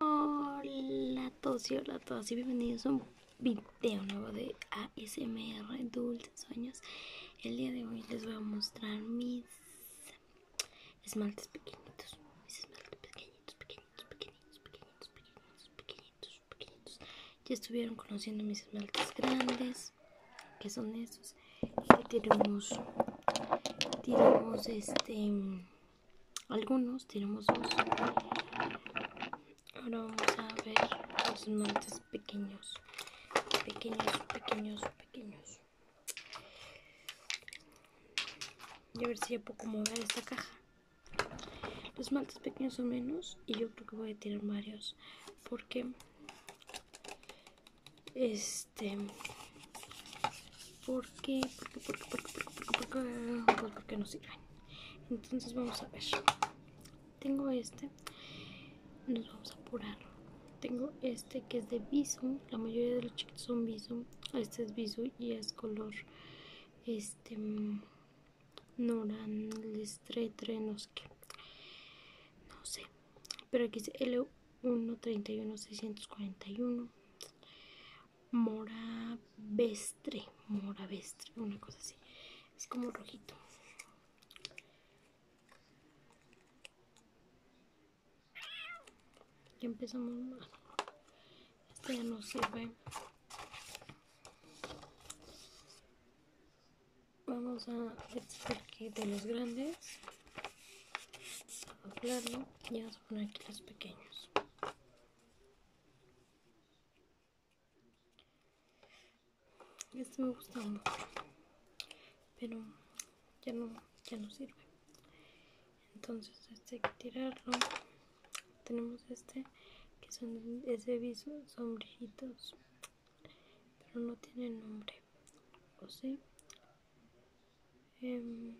Hola a todos y hola a todas y bienvenidos a un video nuevo de ASMR Dulces Sueños El día de hoy les voy a mostrar mis esmaltes pequeñitos Mis esmaltes pequeñitos, pequeñitos, pequeñitos, pequeñitos, pequeñitos, pequeñitos, pequeñitos Ya estuvieron conociendo mis esmaltes grandes Que son estos Y tenemos, tenemos este algunos tenemos dos ahora vamos a ver los esmaltes pequeños pequeños pequeños pequeños y a ver si ya puedo mover esta caja los esmaltes pequeños son menos y yo creo que voy a tirar varios porque este porque, porque, porque, porque, porque, qué? porque no sirven. Entonces vamos a ver. Tengo este. Nos vamos a apurar. Tengo este que es de Bisum. La mayoría de los chiquitos son Bisum. Este es Bisum y es color este Noran Lestretre, no sé qué. No sé. Pero aquí es L131641 moravestre, moravestre, una cosa así. Es como rojito. Ya empezamos mal. Este ya no sirve. Vamos a hacer aquí de los grandes. A y vamos a poner aquí los pequeños. Este me gusta mucho, pero ya no, ya no sirve. Entonces este hay que tirarlo. Tenemos este que son ese viso sombrillitos, pero no tiene nombre. O em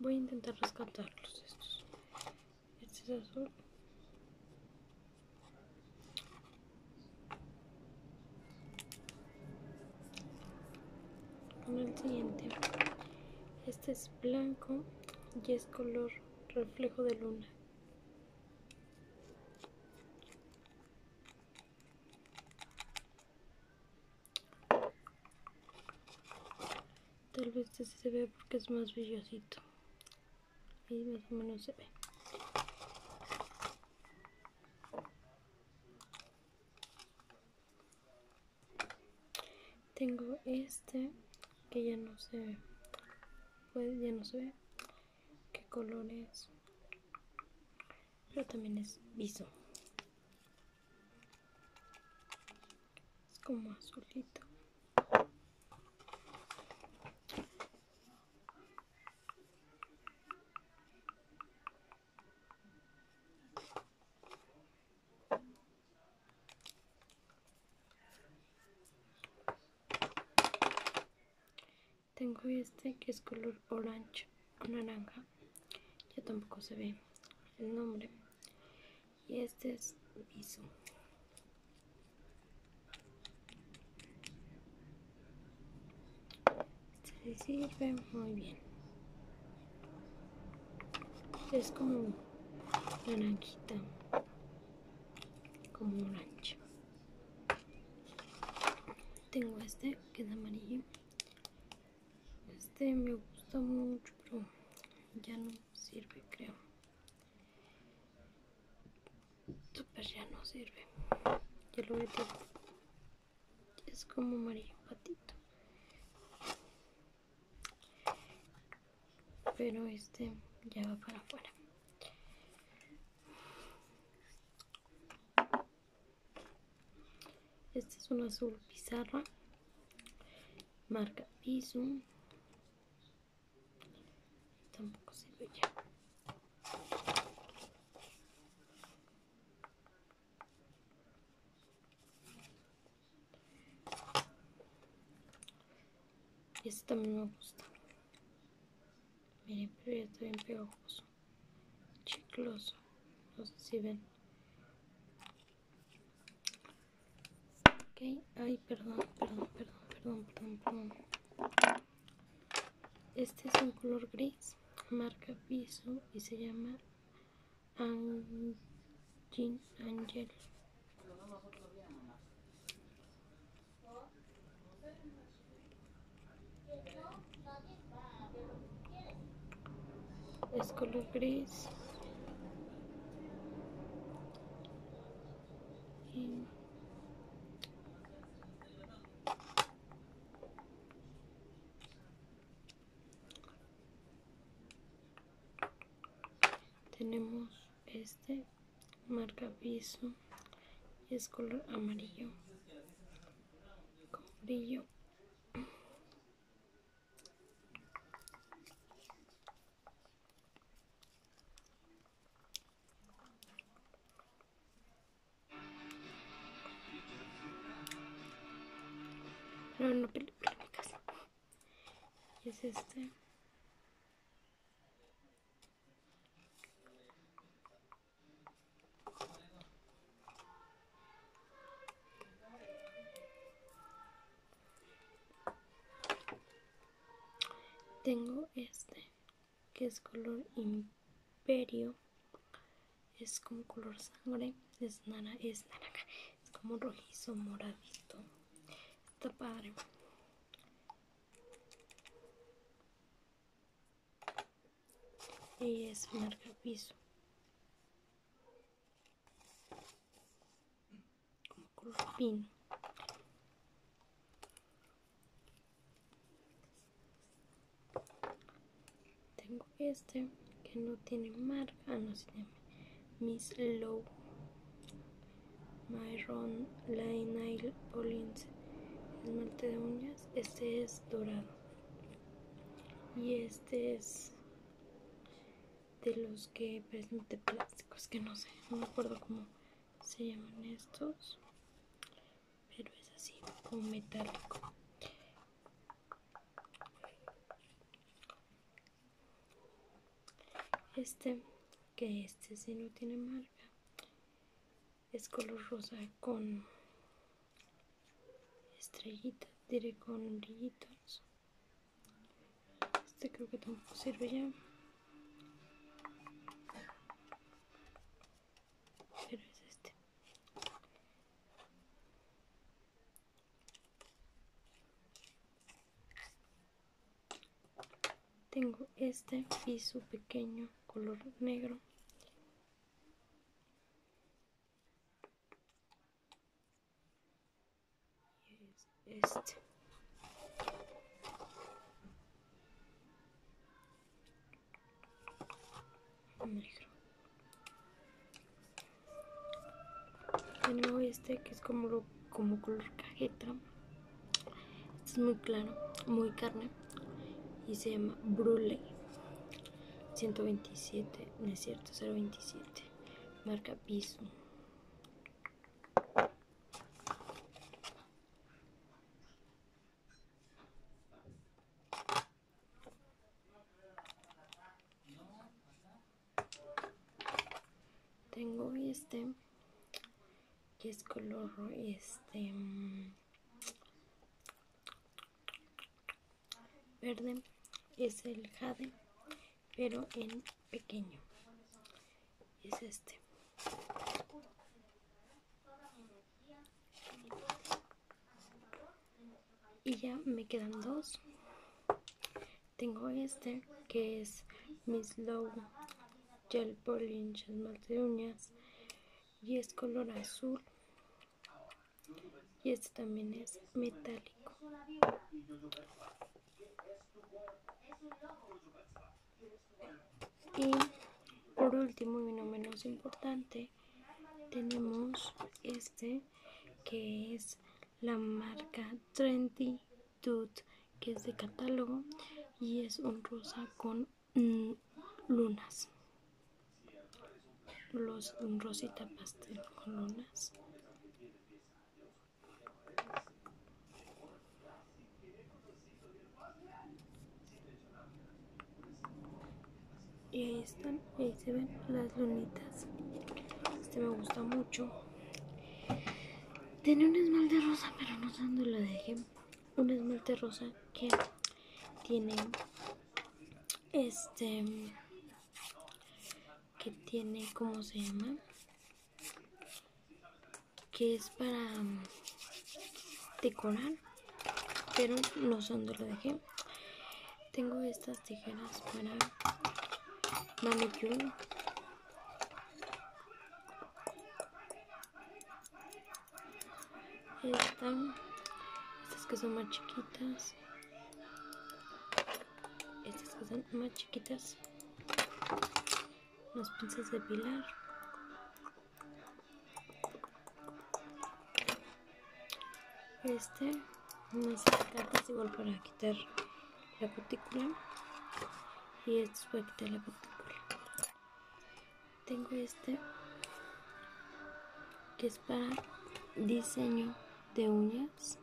Voy a intentar rescatarlos estos. Este es azul. Con el siguiente. Este es blanco y es color reflejo de luna. Tal vez este se vea porque es más bellosito y más o menos se ve. Tengo este que ya no se ve pues, ya no se ve qué color es pero también es viso es como azulito tengo este que es color orange o naranja. Ya tampoco se ve el nombre. Y este es piso. Se sirve muy bien. Es como naranjita como un tengo este que es amarillo este me gusta mucho pero ya no sirve creo super ya no sirve ya lo único es como amarillo patito pero este ya va para afuera este es una azul pizarra marca piso tampoco se ve ya este también me gusta. Miren, pero ya está bien pegajoso. Chicloso. No sé si ven. Ok, ay, perdón, perdón, perdón, perdón, perdón, perdón. Este es un color gris, marca piso y se llama Angel. Es color gris. tenemos este marca piso y es color amarillo con brillo pero no casa y es este tengo este que es color imperio. Es como color sangre. Es, nana, es naranja. Es como rojizo moradito. Está padre y es marca piso como cruz pino tengo este que no tiene marca no se llama miss low Myron Lane Nail Polish esmalte de uñas este es dorado y este es de los que parecen plásticos que no sé no me acuerdo cómo se llaman estos pero es así como metálico este, que este si no tiene marca, es color rosa con estrellitas, diré con orillitos, Este creo que tampoco sirve ya. Pero es este. Tengo este piso pequeño color negro. Y este. Negro. luego este que es como como color cajeta es muy claro muy carne y se llama Brule 127 no es cierto 027 marca piso tengo este que es color este mm, verde es el jade pero en pequeño es este y ya me quedan dos tengo este que es mis Low gel polish, más de uñas y es color azul y este también es metálico y por último y no menos importante tenemos este que es la marca Trendy Dude que es de catálogo y es un rosa con mm, lunas los un rosita pastel con lunas y ahí están ahí se ven las lunitas este me gusta mucho tiene un esmalte rosa, pero no sé dónde lo dejé. Un esmalte rosa que tiene este que tiene cómo se llama que es para um, decorar pero no sé dónde lo dejé tengo estas tijeras para manicure esta. Estas que son más chiquitas. Estas que son más chiquitas. Las pinzas de pilar. Este. Unas cartas igual para quitar la partícula y este suerte la partícula tengo este que es para diseño de uñas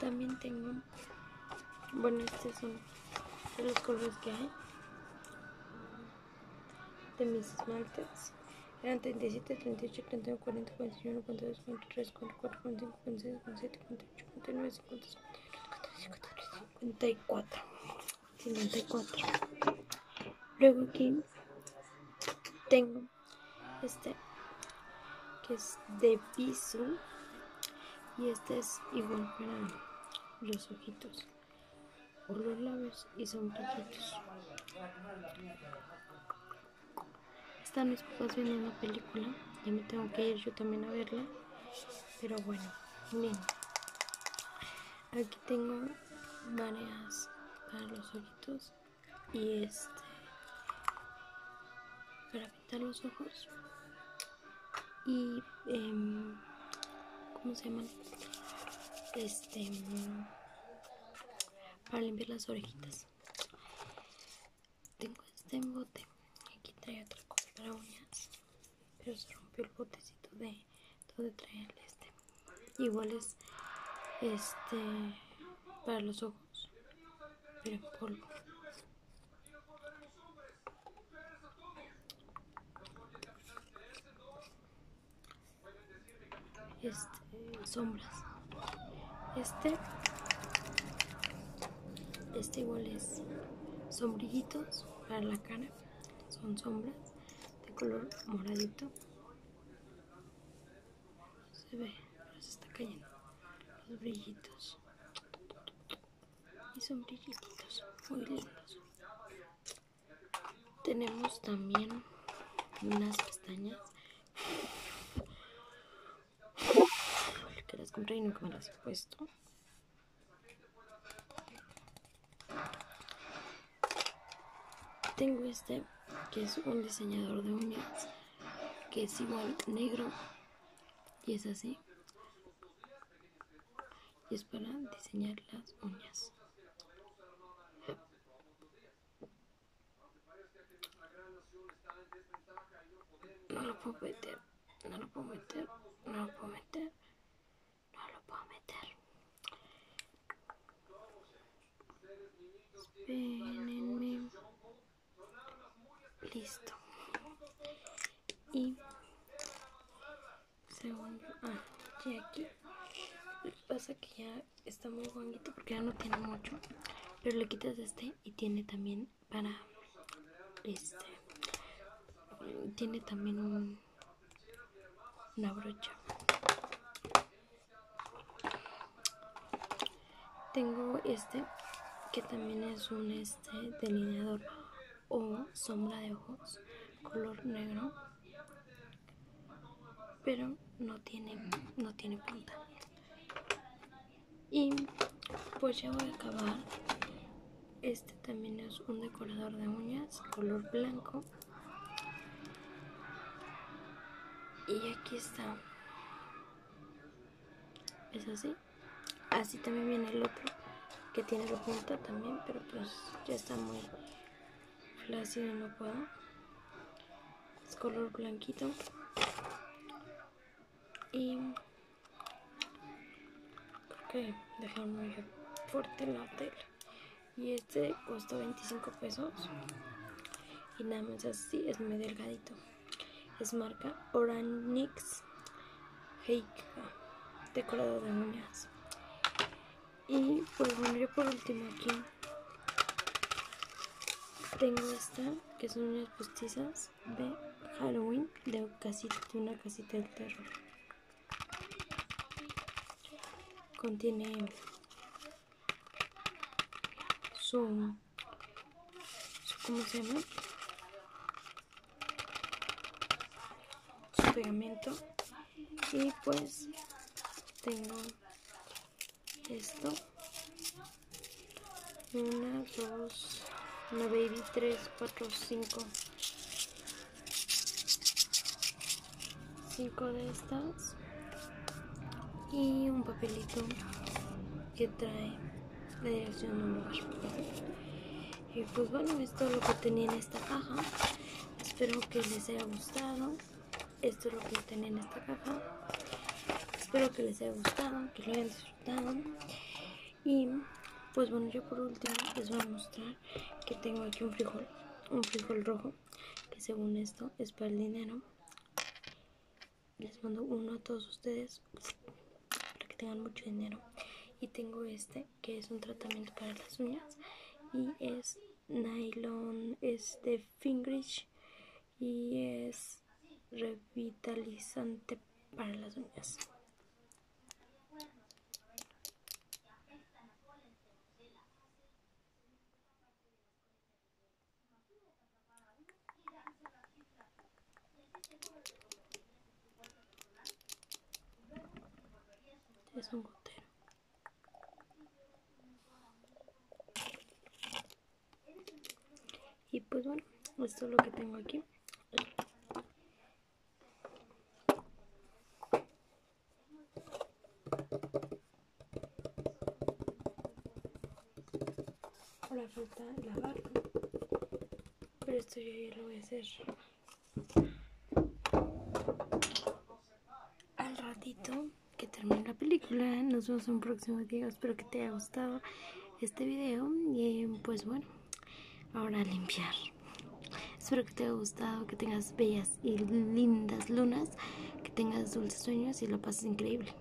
también tengo bueno este los colores que hay de mis esmaltes eran 37, 38, 39, 40, 41, 42, 43, 44, 45, 46, 47, 48, 49, 50, 54 54 luego aquí tengo este que es de piso y este es igual para los ojitos, por los labios y son poquitos Están mis papás viendo una película, y me tengo que ir yo también a verla, pero bueno, miren Aquí tengo varias para los ojitos y este para pintar los ojos y eh, cómo se llaman este para limpiar las orejitas tengo este bote, aquí trae otra cosa para uñas pero se rompió el botecito de donde trae el este igual es este para los ojos pero en polvo este, sombras. Este. Este igual es sombrillitos para la cara. Son sombras de color moradito. Se ve, se está cayendo. Los brillitos y son brillitos muy lindos tenemos también unas pestañas que las compré y nunca me las he puesto tengo este que es un diseñador de uñas que es igual negro y es así y es para diseñar las uñas. No lo puedo meter, no lo puedo meter, no lo puedo meter, no lo puedo meter. Listo y segundo ah, y aquí pasa que ya está muy bonito porque ya no tiene mucho pero le quitas este y tiene también para este tiene también un, una brocha tengo este que también es un este delineador o sombra de ojos color negro pero no tiene no tiene punta y pues ya voy a acabar este también es un decorador de uñas color blanco y aquí está es así Así también viene el otro que tiene la punta también, pero pues ya está muy flácido no puedo. Es color blanquito. Y creo que dejaron muy fuerte la tela. Y este costó 25 pesos. Y nada más así, es muy delgadito. Es marca Oranix Heika, decorado de uñas. Y pues por último aquí tengo esta, que son unas postizas de Halloween, de, una casita del terror. Contiene su, como ¿cómo se llama? pegamento, y pues tengo esto, una 2, 3, 4, 5, 5 de estas y un papelito que trae la dirección y pues bueno, esto es lo que tenía en esta caja. Espero que les haya gustado. Esto es lo que tenía en esta caja. Espero que les haya gustado, que lo hayan disfrutado. Y pues bueno, yo por último les voy a mostrar que tengo aquí un frijol. Un frijol rojo, que según esto es para el dinero. Les mando uno a todos ustedes para que tengan mucho dinero y tengo este que es un tratamiento para las uñas y es nylon es de fingrich y es revitalizante para las uñas es un gotero. Y pues bueno, esto es lo que tengo aquí. Ahora falta lavarlo. Pero esto ya, ya lo voy a hacer. Al ratito que termine la película, nos vemos en un próximo video. Espero que te haya gustado este video. Y pues bueno, ahora limpiar. Espero que te haya gustado, que tengas bellas y lindas lunas, que tengas dulces sueños y lo pases increíble.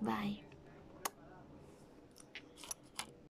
Bye.